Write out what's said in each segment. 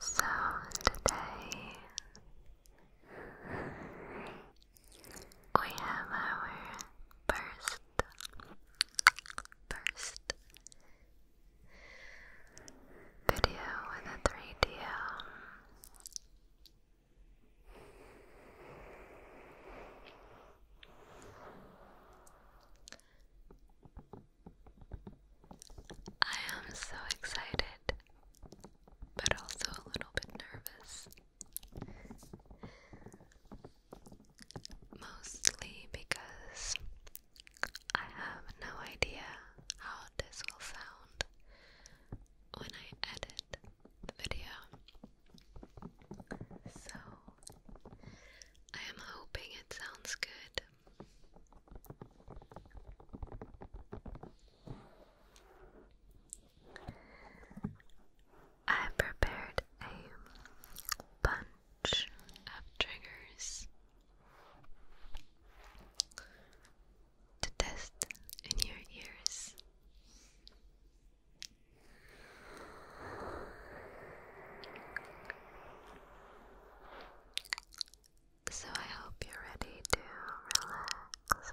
So today we have our first first video with a 3DO I am so excited, but also a little bit nervous. Mostly because I have no idea how this will sound when I edit the video. So, I am hoping it sounds good. I prepared a bunch of triggers to test in your ears. So I hope you're ready to relax, relax,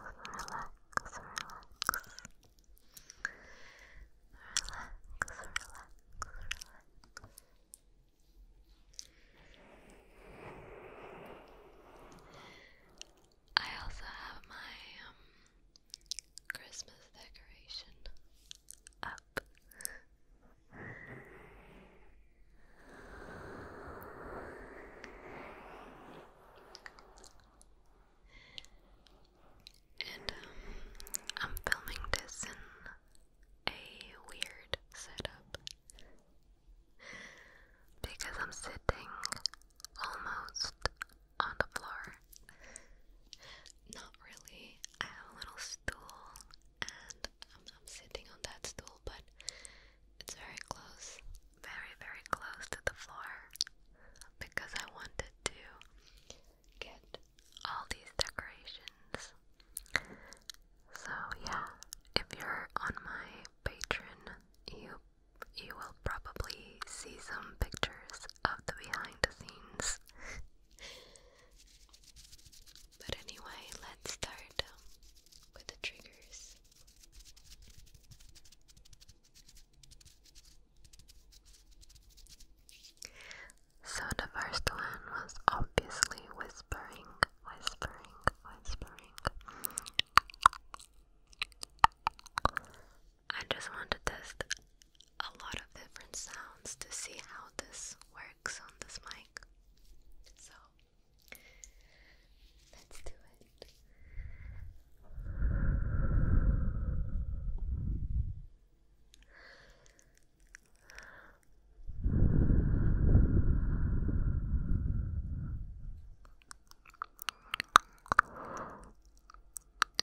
relax, relax, relax, relax, I also have my um, Christmas decoration up. And um, I'm filming this in a weird setup because I'm sitting almost on the floor. Not really. I have a little stool and I'm, sitting on that stool, but it's very close, very, very close to the floor because I wanted to get all these decorations. So, yeah, if you're on my Patreon, you you will probably see some pictures of the behind the scenes. but anyway, let's start um, with the triggers. So the first one was obviously whispering, whispering, whispering. I just want to test a lot of different sounds to see how this works on this mic. So let's do it.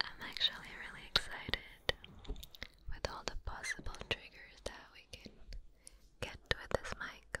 I'm actually really excited with all the possible triggers that we can get with this mic.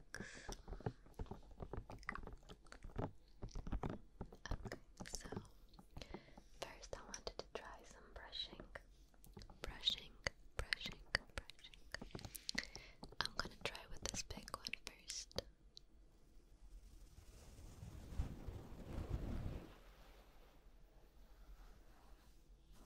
Okay, so first I wanted to try some brushing. Brushing, brushing, brushing. I'm gonna try with this big one first.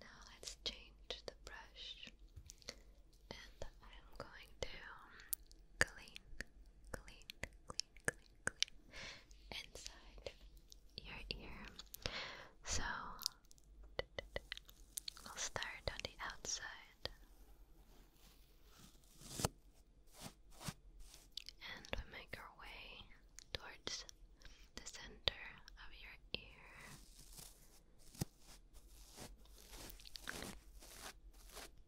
Now let's change the brush, and I'm going to um, clean, clean, clean, clean, inside your ear. So we'll start on the outside. And we make our way towards the center of your ear.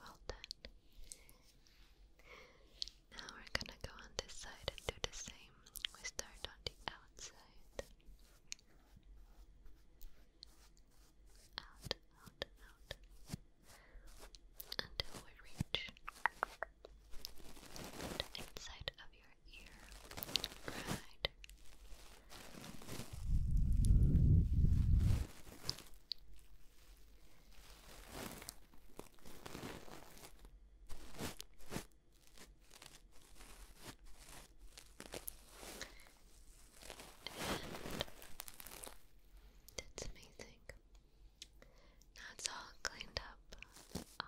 Well done. Now we're gonna go on this side and do the same. We start on the outside. Out, out, out. Until we reach the inside of your ear. Right. And that's amazing. Now all cleaned up.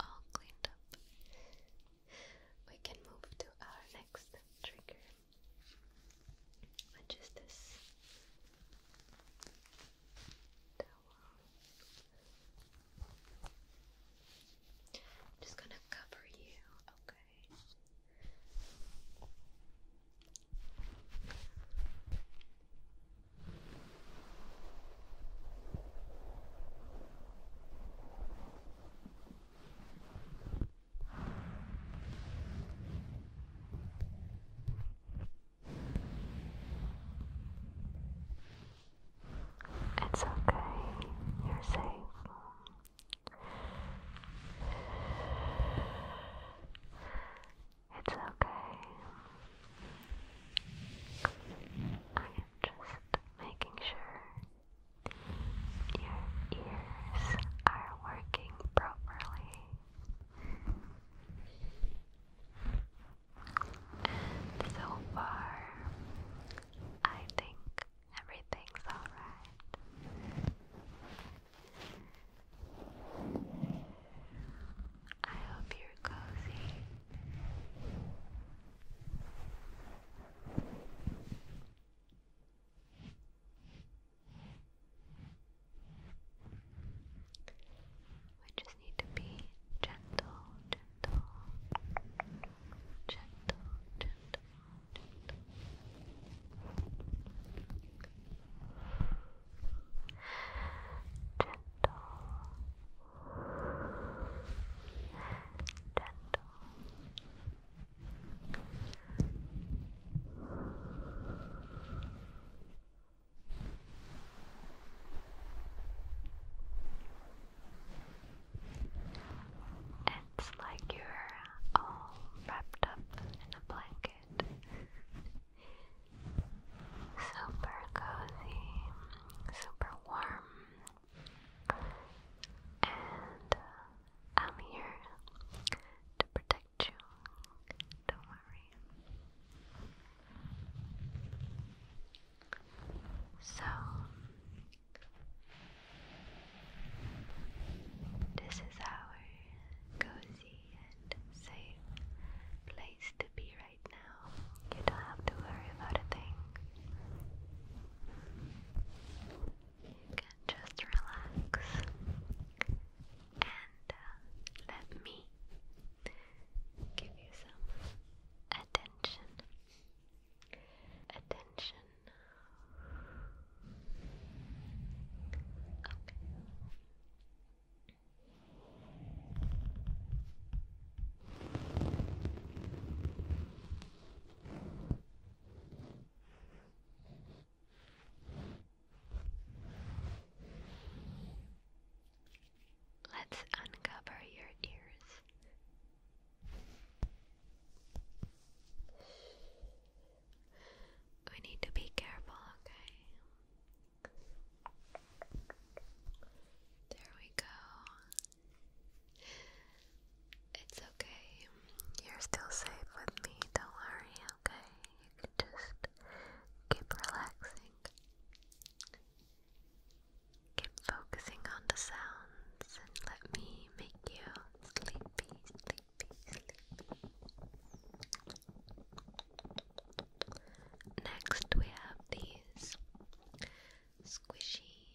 All cleaned up we can move to our next trigger, which is this towel. I'm just gonna cover you, Okay. It's okay, you're safe. It's okay just making sure your ears are working properly. And so far, I think everything's alright. I hope you're cozy. We just need to be gentle, gentle, gentle, gentle, gentle. Gentle, it's like you're all wrapped up in a blanket. Super cozy, super warm, and uh, I'm here to protect you. Don't worry. So, this is our cozy and safe place to be right now now. You don't have to worry about a thing. You can just relax and uh, let me give you some attention. Attention. Okay. Let's uncover your ears. We need to be careful, okay? There we go. It's okay. You're still safe with me. Don't worry, okay? You can just keep relaxing. Keep focusing on the sounds and let me make you sleepy, sleepy, sleepy. Next, we have these squishy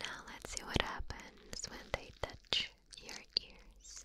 Now let's see what happens when they touch your ears.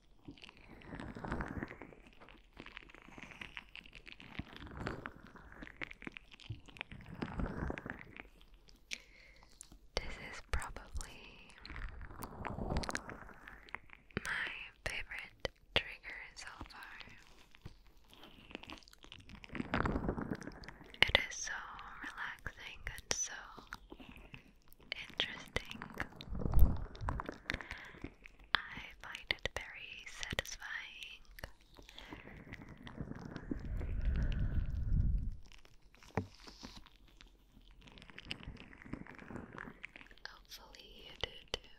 This is probably my favorite trigger so far. It is so relaxing and so interesting. I find it very satisfying. Hopefully, you do too.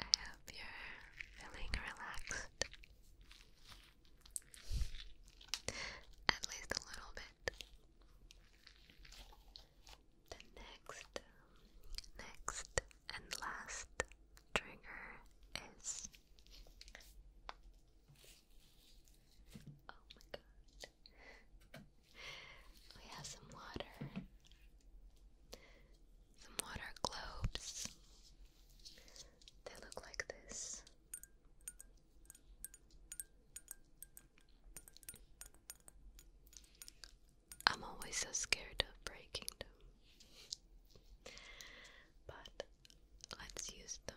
I hope you're feeling relaxed. At least a little bit. The next, next, and last trigger is. Oh my god. We have some water some water globes. They look like this. I'm always so scared of breaking them. But let's use them.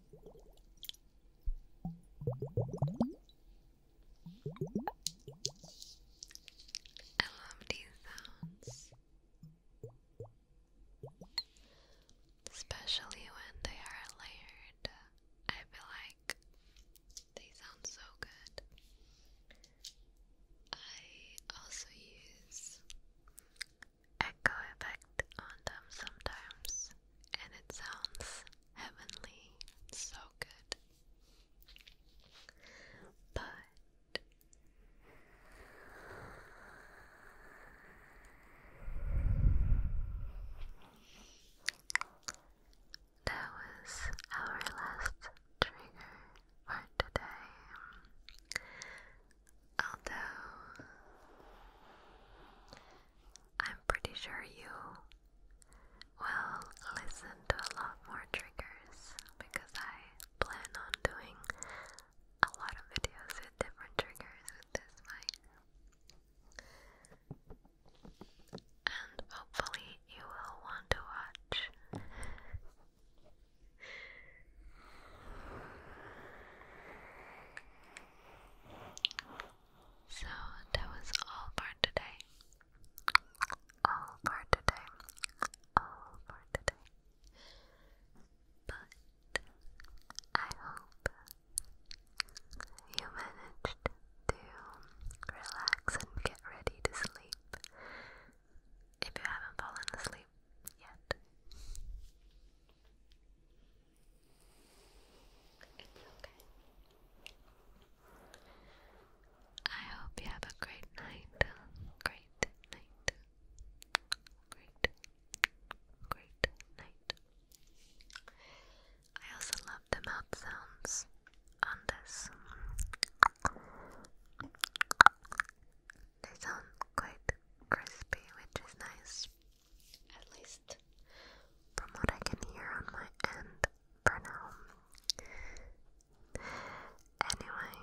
I love these sounds, especially when they are layered. I feel like they sound so good. I also use echo effect on them sometimes, and it sounds heavenly, so good. But that was our last trigger for today. Although, I'm pretty sure you will listen to a lot more triggers because I plan on doing a lot of videos with different triggers with this mic. And hopefully, you will want to watch. So that was all for today. All for today. All for today. But I hope you managed to relax and get ready to sleep if you haven't fallen asleep yet. I hope you have a great night. Great night. Great. Great night. I also love the mouth sounds on this. They sound quite crispy, which is nice. At least from what I can hear on my end for now. Anyway,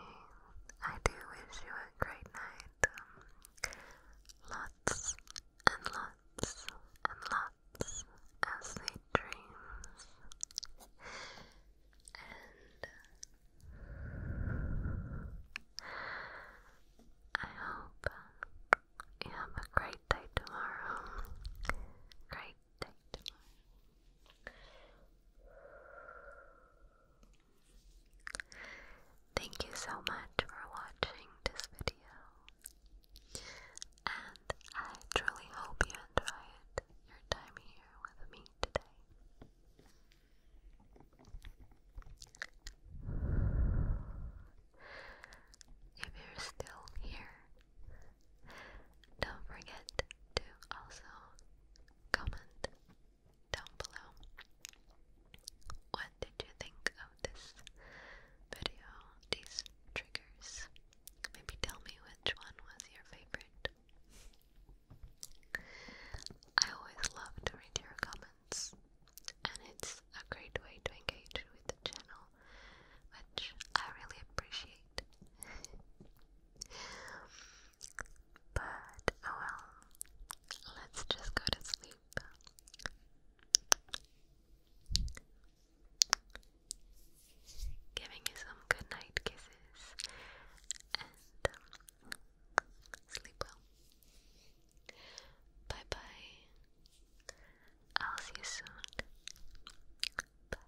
I do wish you a great night. Um, lots and lots and lots of sweet dreams. And I hope um, you have a great day tomorrow. Great day Thank you so much for watching this video. And I truly hope you enjoyed your time here with me today. If you're still here, don't forget to also comment down below. What did you think of this video? These triggers? Maybe tell me which one was your favorite. I always love to read your comments and it's a great way to engage with the channel, which I really appreciate. but oh well, let's just go to sleep. Giving you some good night kisses and um, sleep well. Bye bye. I'll see you soon. Bye.